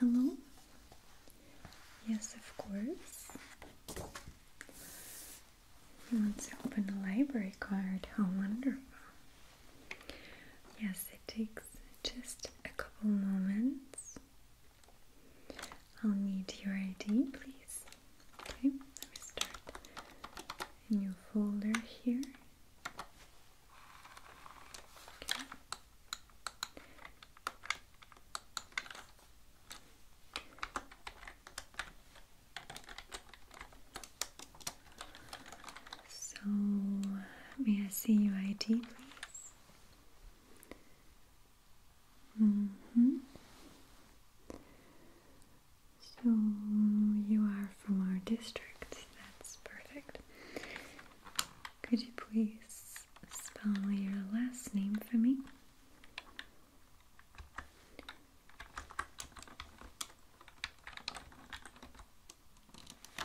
Hello? Yes, of course. He wants to open a library card. How wonderful. Yes, it takes just a couple moments. I'll need your ID, please. let me start a new folder here. So may I see your ID, please? Mm -hmm. So you are from our district, that's perfect. Could you please spell your last name for me?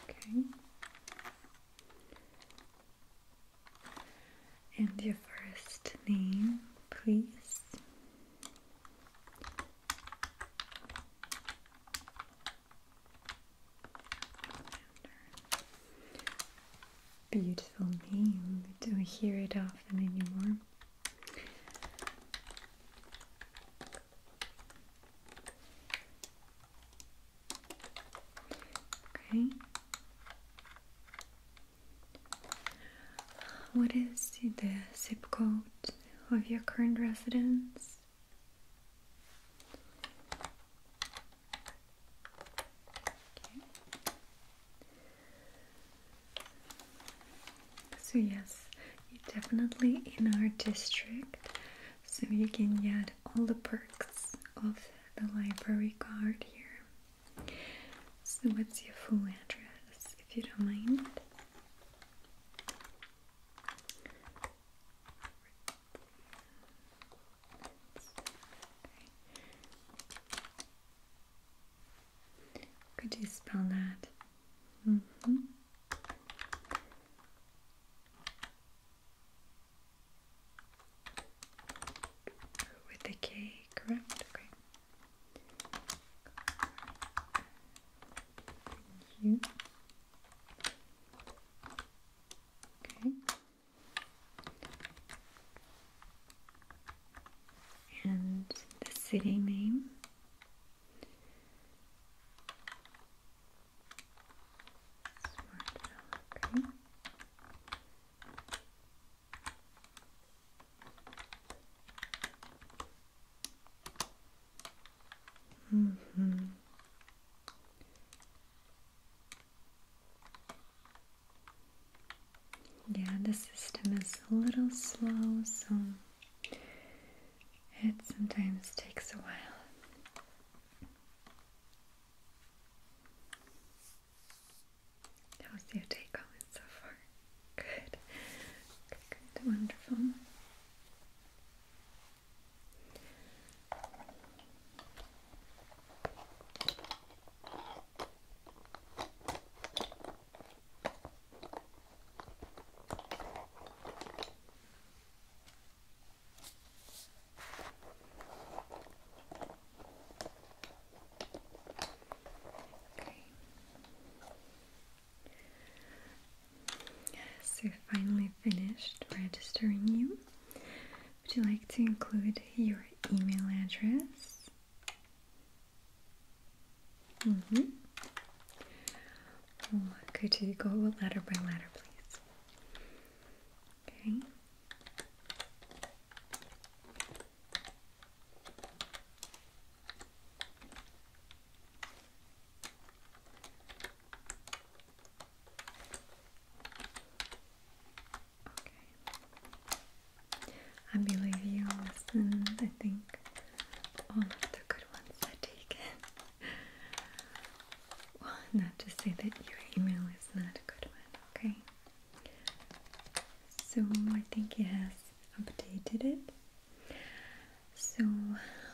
Okay. And your first name, please. Beautiful name. We don't hear it often anymore. Okay. What is the zip code of your current residence? So yes, you're definitely in our district. So you can get all the perks of the library card here. So, what's your full address if you don't mind? Could you spell that? Mm -hmm with the cake around. Okay. You. Okay. And the city name. Smart okay. Mm hmm Yeah, the system is a little slow, so it sometimes takes a while. How's your take on so far? Good. good. Wonderful. Okay. So finally finished registering you. Would you like to include your email address? Mm hmm. could you go letter by letter, please? Okay. Okay. I believe you I think all of the good ones are taken. Well, not to say that your email is not a good one, okay? So I think it has updated it. So,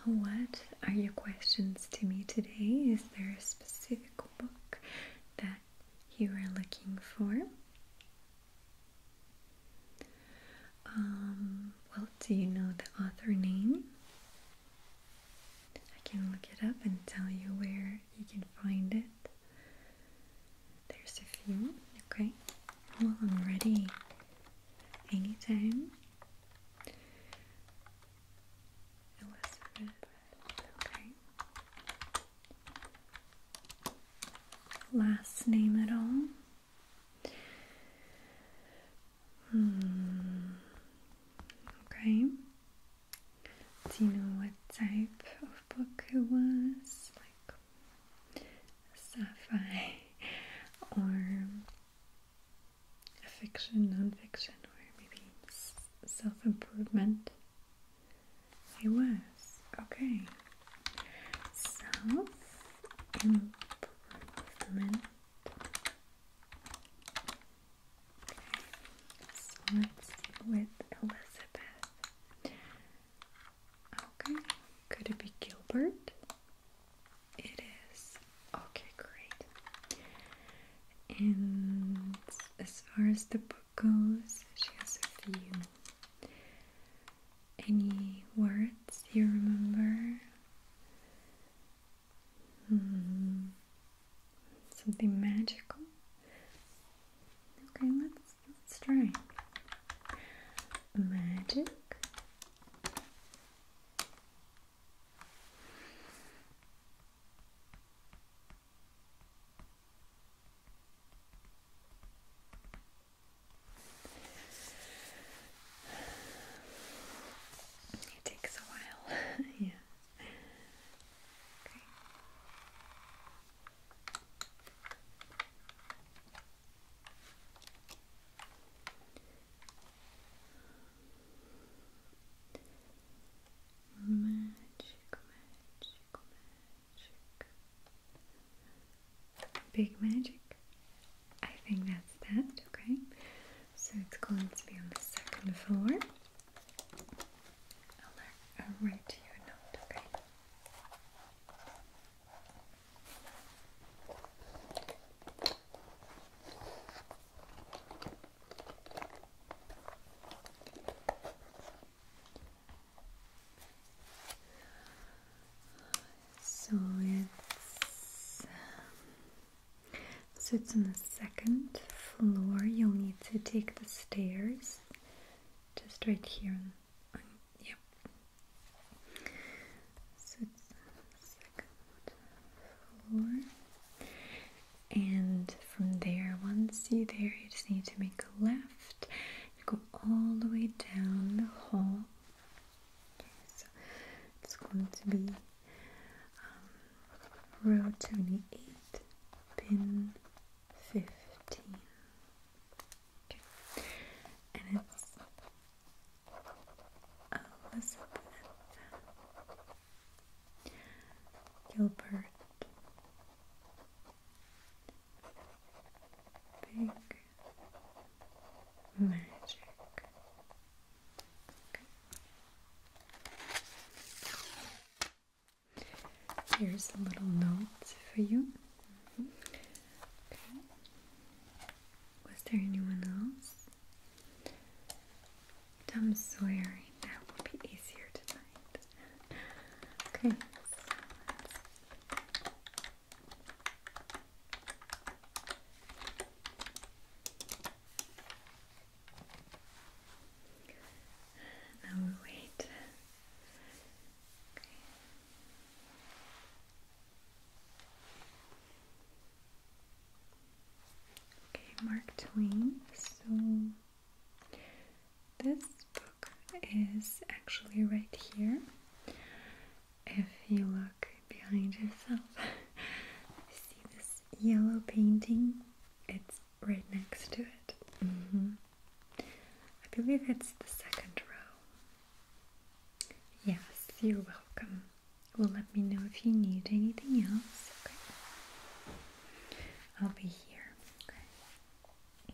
what are your questions to me today? Is there a specific book that you are looking for? Um, well, do you know the author name? I can look it up and tell you where you can find it. There's a few, okay? Well, I'm ready anytime. Elizabeth, Last name at all? Hmm. Okay. Do you know what type of book it was? Like a sci-fi or a fiction, non-fiction, or maybe self-improvement? It was. Okay. Self-improvement. So let's with Elizabeth. Okay, could it be Gilbert? It is. Okay, great. And as far as the book goes, she has a few. Any words you remember? Mm-hmm. Something magical. Okay, let's let's try magic. It takes a while. yeah. Magic, magic, magic. Big magic. I think that's that, okay? So it's going to be on the second floor. I'll, write you a note, okay? So it's um, so it's on the second floor. You'll need to take the stairs just right here. yep. So it's second floor. And from there, once you're there, you just need to make a left. go all the way down the hall. so it's going to be um, row 28, pin 15. Okay. And it's Elizabeth Gilbert. Big magic. Here's a little note for you. Mm-hmm. Was there anyone else? Tom Sawyer. That will be easier tonight. okay. Now we wait. Okay. Mark Twain. So this book is actually right here. If you look behind yourself. See this yellow painting? It's right next to it. Mm-hmm. I believe it's the second row. Yes, you're welcome. Well, let me know if you need anything else. Okay. I'll be here. Okay.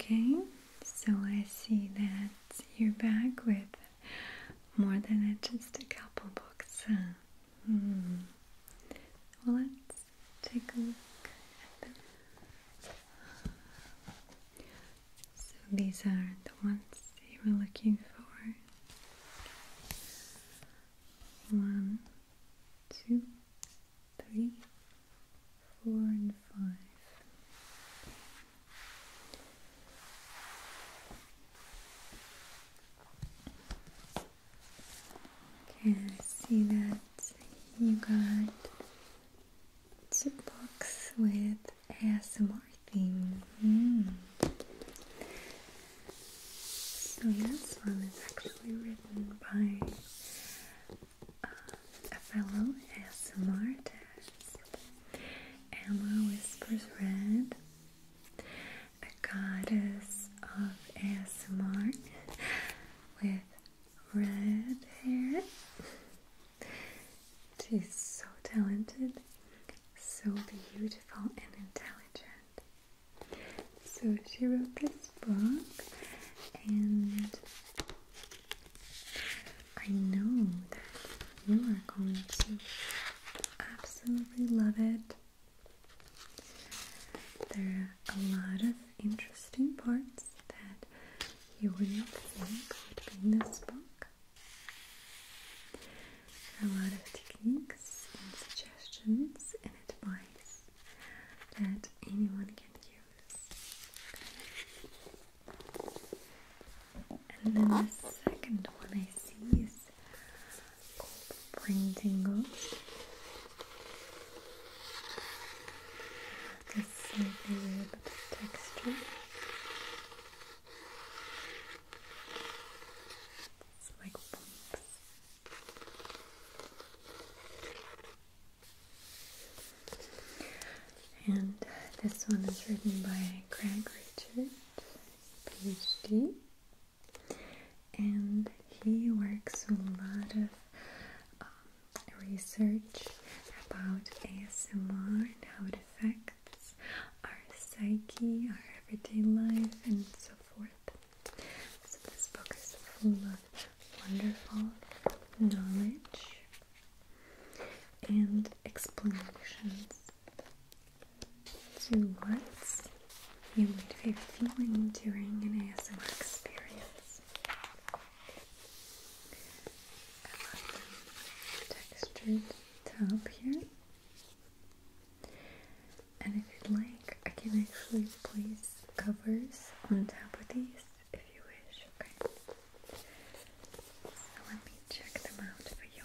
Okay, so I see that you're back with more than just a couple books. Hmm. Well, let's take a look at them. So these are the ones you were looking for. One, two, three, four, and five. Okay, I see that you got two books with ASMR theme. Hmm. So this one is actually written by uh, a fellow ASMR artist. Emma Whispers Red the goddess of ASMR with red hair. She's so talented, so beautiful and intelligent. So she wrote this book and I know that you are going to absolutely love it. There are a lot of interesting parts that you would not think would be in this book. There are a lot of techniques and suggestions and advice that anyone can use. And then the second one is called Spring Tingles. This slightly weird bit of texture. It's like bumps. And this one is written by Craig Richard, PhD and he works a lot of um, research about ASMR and how it affects our psyche, our everyday life, and so forth. So, this book is full of wonderful knowledge and explanations to what's you might be feeling during an ASMR experience. I love the textured top here. And if you'd like, I can actually place covers on top of these if you wish, okay? So let me check them out for you.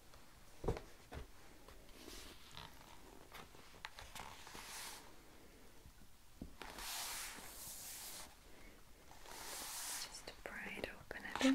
Just pry it open a bit.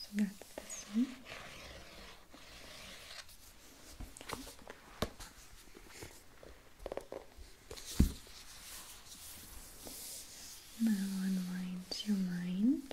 so that's this one. Now unwind your mind.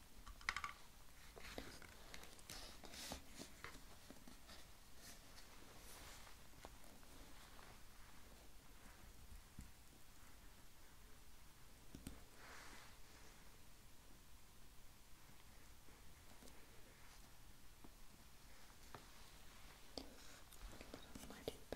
A little more deeper. It's okay.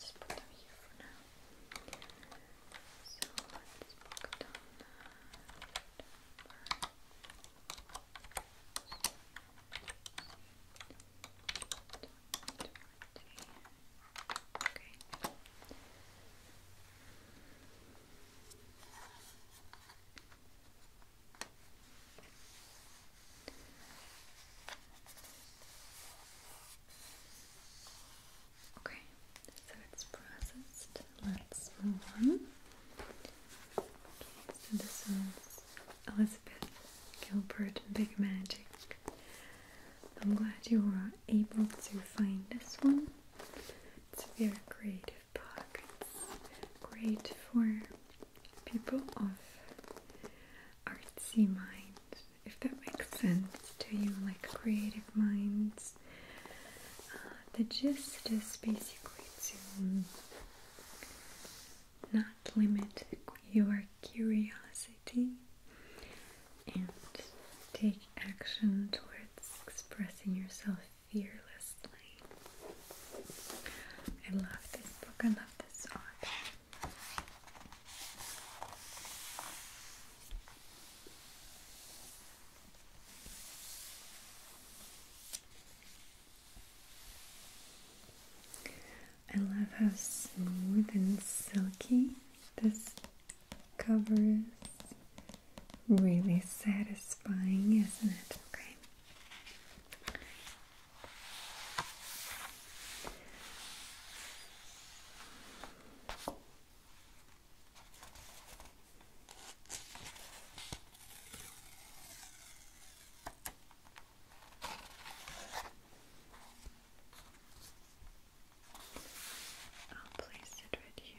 Let's put them here for now. So let's put down that. Okay. Okay, so it's processed. Let's move on. Okay, so this is Elizabeth Gilbert Big Magic. I'm glad you were able to find this one. It's a very creative book. It's great for people of artsy minds, if that makes sense to you, like creative minds. Uh, the gist is basically to not limit your curiosity and take action towards expressing yourself fearlessly. I love this book, I love this art. I love how smooth and silky this cover is. Really satisfying, isn't it? Okay. I'll place it right here.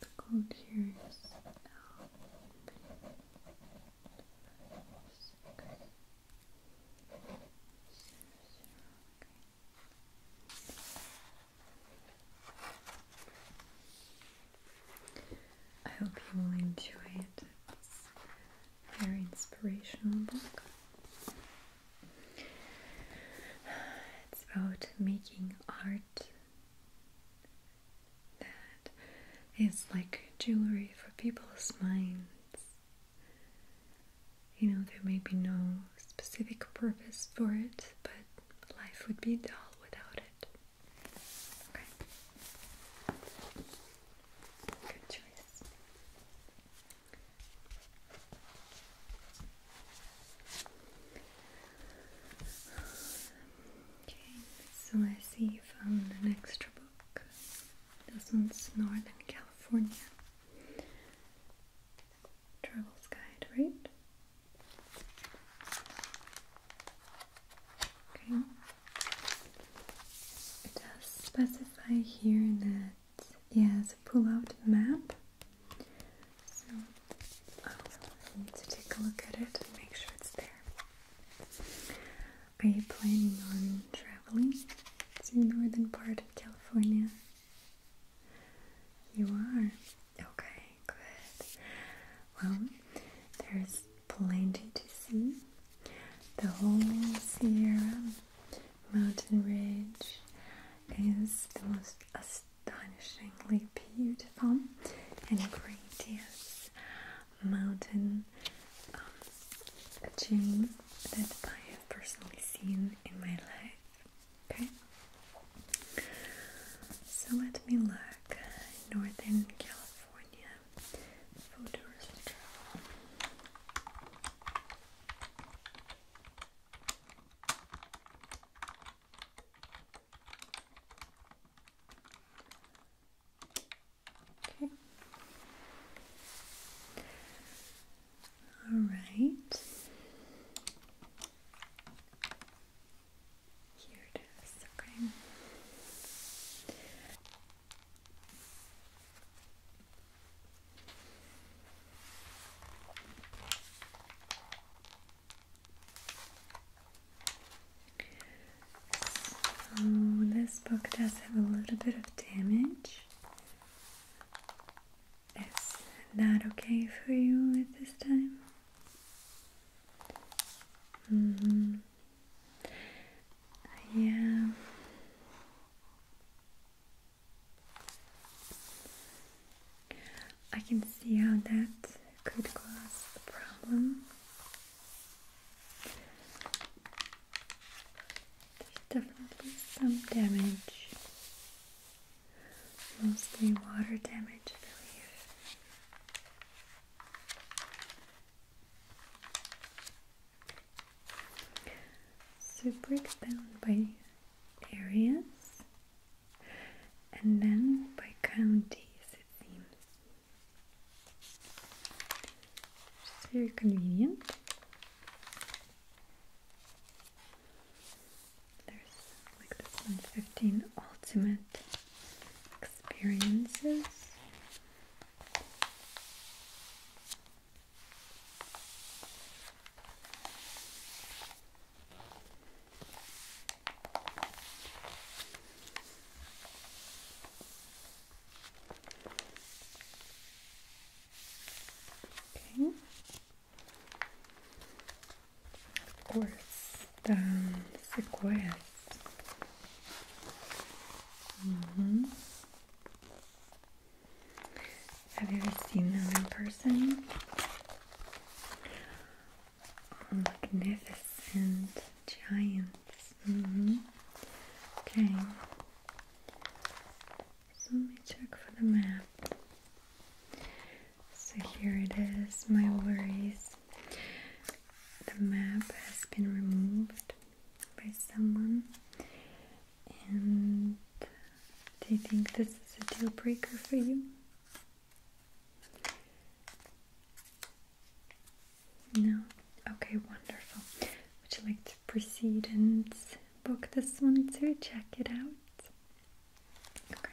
The cold here is now I hope you will enjoy it. It's very inspirational book. It's about making art that is like jewelry for people's minds you know, there may be no specific purpose for it, but life would be dull without it. Okay. Good choice. Okay, so let see you found an book. Dozens, Northern California. Travel's guide, right? Okay. It does specify here that it pull-out map. So I need to take a look at it and make sure it's there. Are you planning on traveling to the northern part of California? You are. Okay, good. Well, there's plenty to see. The whole Sierra Mountain Ridge is the most astonishingly beautiful and gorgeous mountain um, gym that I have personally seen in my life. Okay, so let me look. Northern California photos Okay. All right. Here it is. Okay this book does have a little bit of damage. Is that okay for you at this time? -hmm. Yeah. I can see how that could cause a problem. There's definitely some damage, mostly water damage, I believe. So it breaks down by areas and then by counties, it seems. It's very convenient. There's like this one, 15 ultimate experiences. Of the um, sequoias. Mm-hmm. Have you ever seen them in person? Magnificent giants. Mm -hmm. Okay. So let me check for the map. So here it is, my worries. The map has been removed by someone, and do you think this is a deal breaker for you? No? Okay, wonderful. Would you like to proceed and book this one to Check it out. Okay.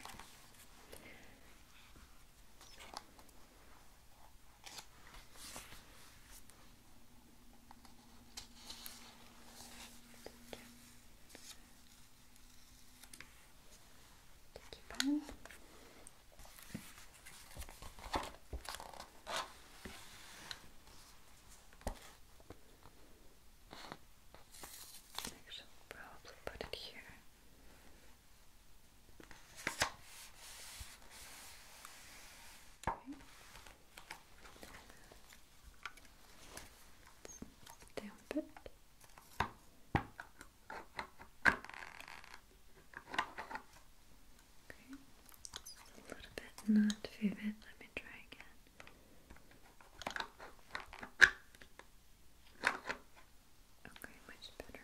Keep Actually, probably put it here. Okay. it. A little bit not vivid. Let me try again. Okay, much better.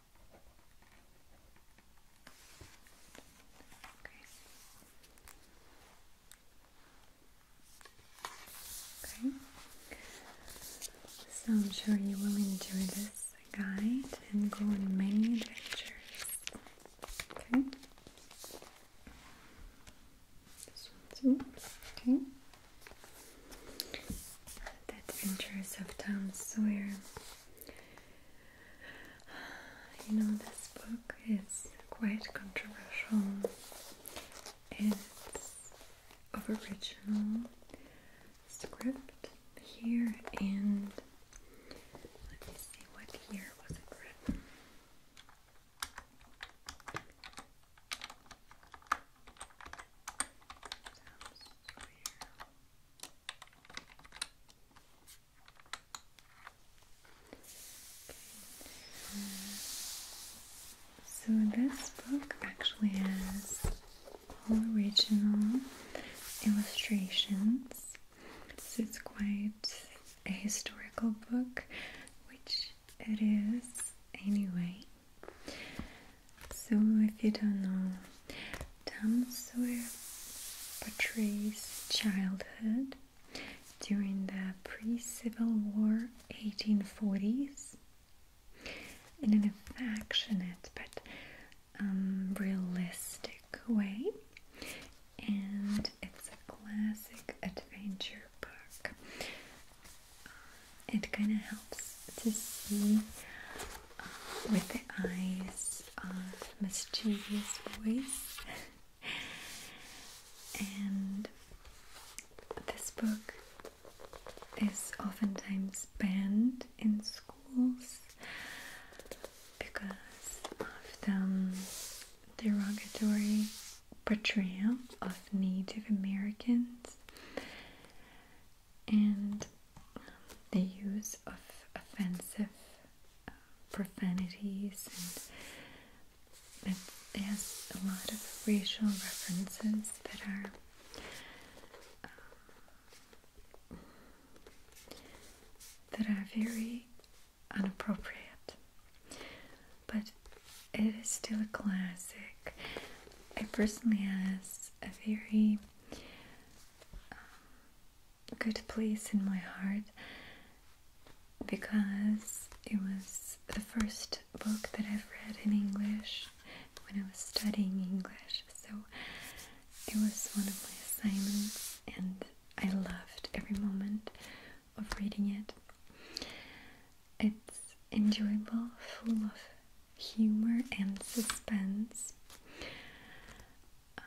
So I'm sure you will enjoy this guide and go on many adventures. Okay. Adventures of Tom Sawyer. You know, this book is quite controversial. It's original script here, and let me see what year was it written. So this book actually has all original illustrations. So it's quite a historical book, which it is anyway. So if you don't know Tamswir portrays childhood during the pre-Civil War 1840s in an affectionate but um, realistic way and it's a classic adventure book. It kind of helps to see with the eyes of mischievous boys. and this book is oftentimes banned in schools because of the derogatory portrayal of Native Americans and the use of offensive uh, profanities and it has a lot of racial references that are um, that are very inappropriate, but it is still a classic I personally has a very um, good place in my heart because it was the first book that I've read in English when I was studying English. So it was one of my assignments, and I loved every moment of reading it. It's enjoyable, full of humor and suspense. Um,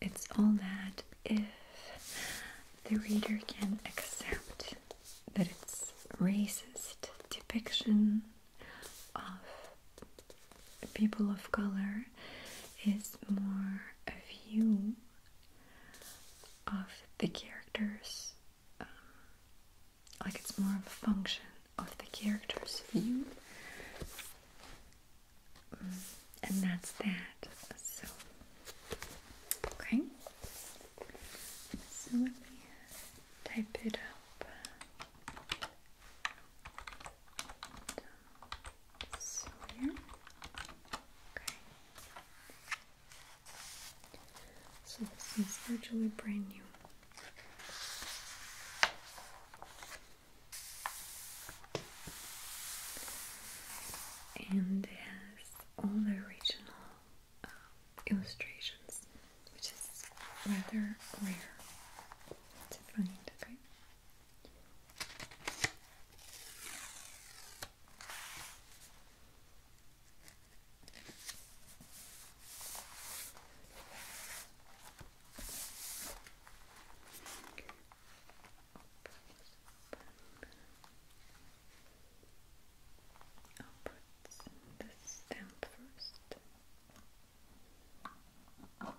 it's all that if the reader can accept that it's racist depiction of people of color is more a view of the characters um, like it's more of a function of the character's view. Mm, and that's that. So, okay. So let me type it up. So here. So this is virtually brand new and has all the original um, illustrations, which is rather rare to find. Okay. I'll put the stamp first. Okay.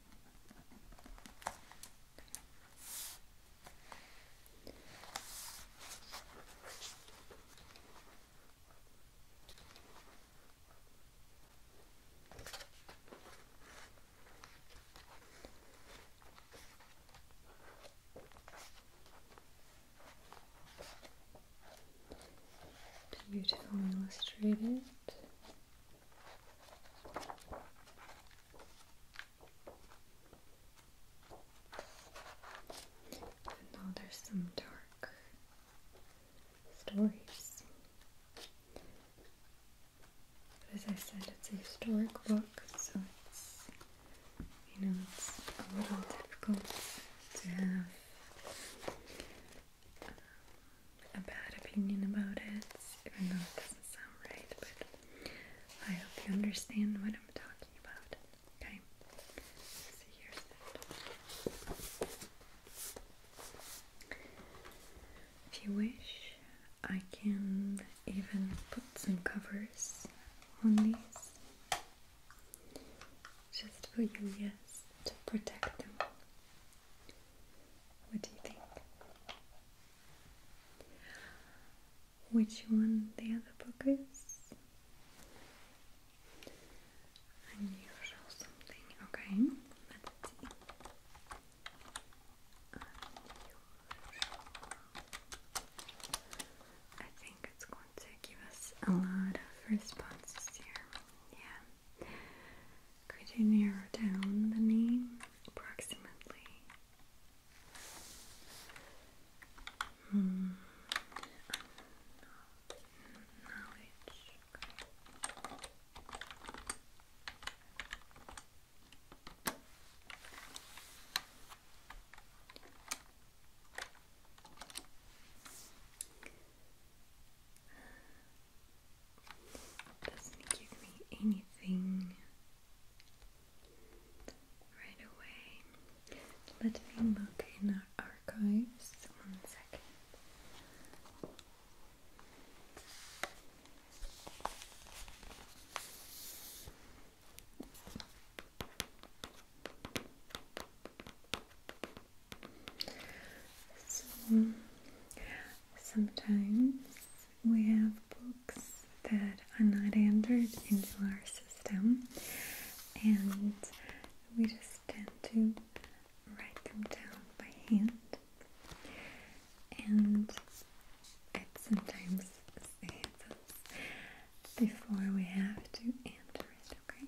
Beautifully illustrated. And there's some dark stories. as I said, it's a historic book, so it's you know it's a little difficult to have um, a bad opinion about it, even though it doesn't sound right, but I hope you understand what I'm talking about. Okay? So here's that. If you wish, I can even put some covers on these. Just for you, yes, to protect them what do you think? Which one the other book is? Unusual something. Okay, Unusual. I think it's going to give us a lot of responses here. Yeah. Could you narrow down the name approximately? Hmm. Doesn't give me anything right away. Let me look in our archives one second. So sometimes we have books that are not entered into our system and we just tend to write them down by hand and it sometimes saves us before we have to enter it, okay?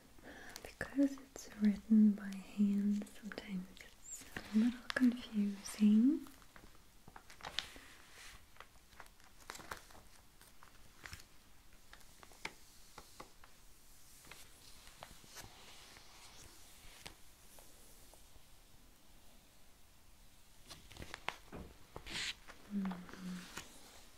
because it's written by hand, sometimes it's a little confusing. Mm-hmm.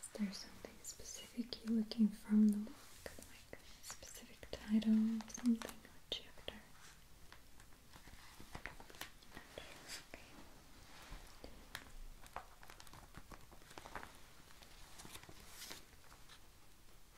Is there something specific you're looking from the book? Like a specific title, or something, or chapter?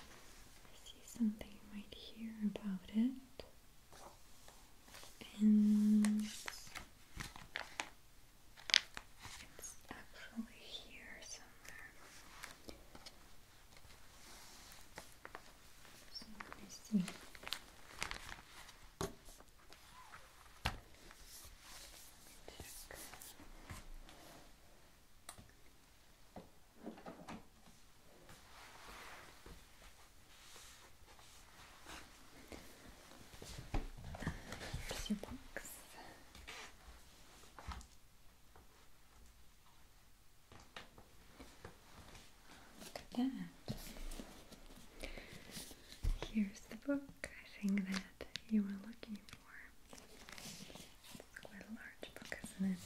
I see something you might hear about it and it's actually here somewhere. let me see here's your box. Look at that. Here's the book I think that you were looking for. It's quite a large book, isn't it?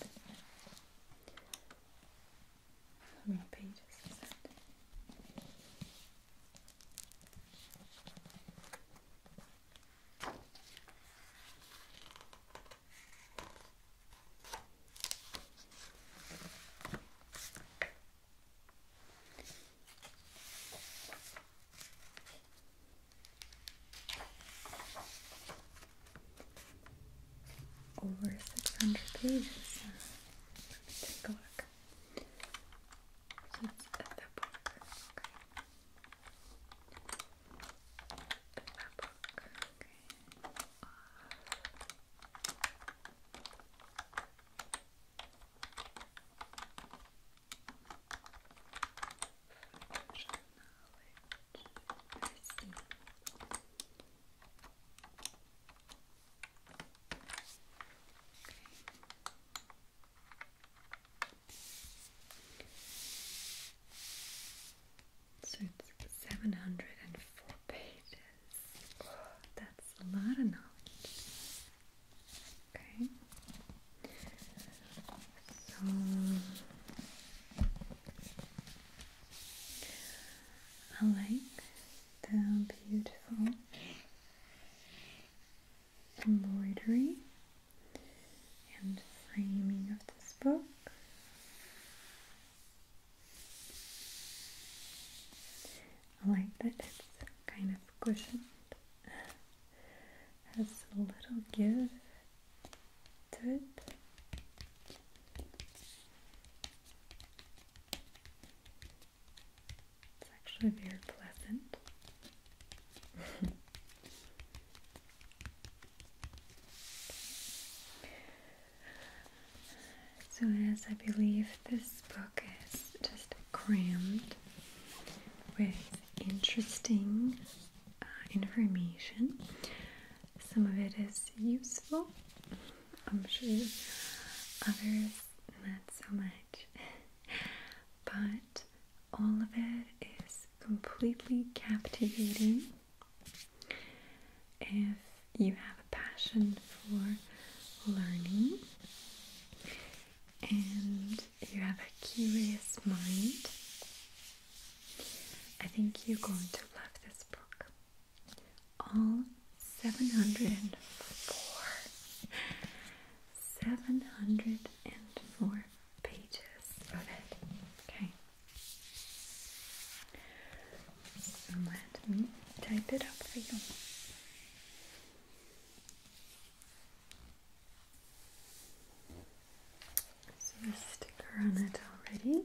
I'm How many pages is that? over 600 pages. Let me take a look. the book. the book. Okay. So it's 704 pages. Oh, that's a lot of knowledge. Okay. So I like the beautiful embroidery and framing of this book. I like that it's kind of cushioned, has a little give to it. It's actually very pleasant. So, as I believe this book is just crammed with interesting uh, information, some of it is useful, I'm sure others not so much, but all of it is completely captivating. If you have a passion for learning and you have a curious mind, I think you're going to love this book all 704 704 pages of it. Okay. So let me type it up for you. So a sticker on it already.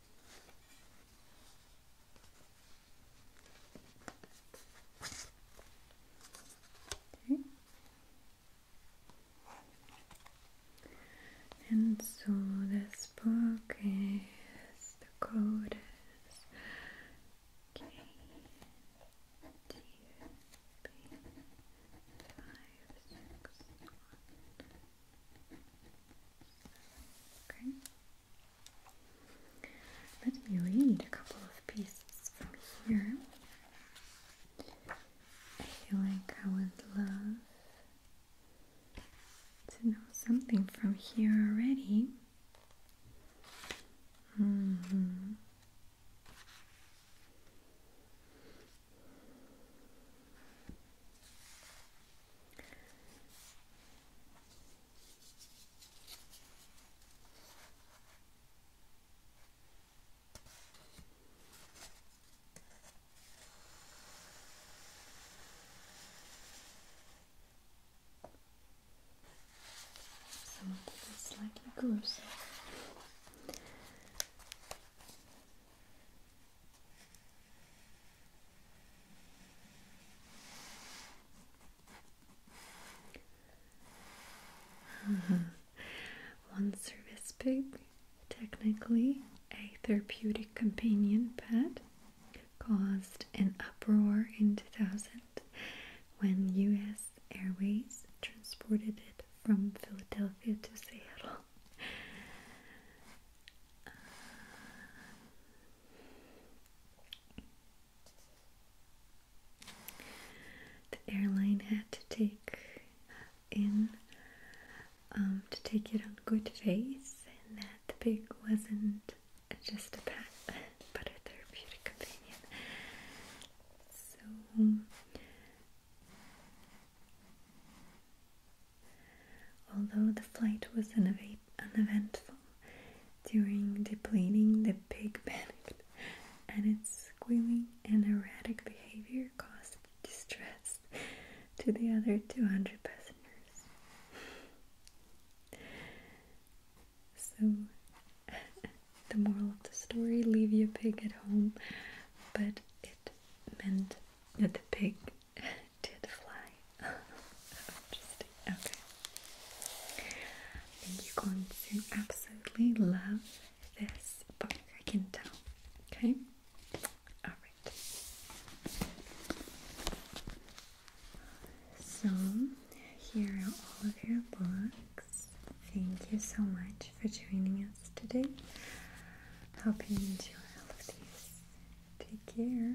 Okay. And so this book is the code is K T B five six one Okay. Let me read a couple of pieces from here. I feel like I would love to know something from here already. -hmm. Some of this is slightly gruesome. One service pig, technically a therapeutic companion pet, caused an uproar in 2000 when US Airways transported it from Philadelphia to Seattle. The airline had to take in um, to take it on good faith, and that the pig wasn't just a pet, but a therapeutic companion. So Although the flight was uneventful, during the depleting the pig panicked, and its squealing and erratic behavior caused distress to the other 200 passengers. So, the moral of the story leave your pig at home, but it meant that the pig did fly. Okay. I think you're going to absolutely love this book, I can tell. Okay? Alright. So, here are all of your books. Thank you so much for joining us today. Hope you enjoy all of these. Take care.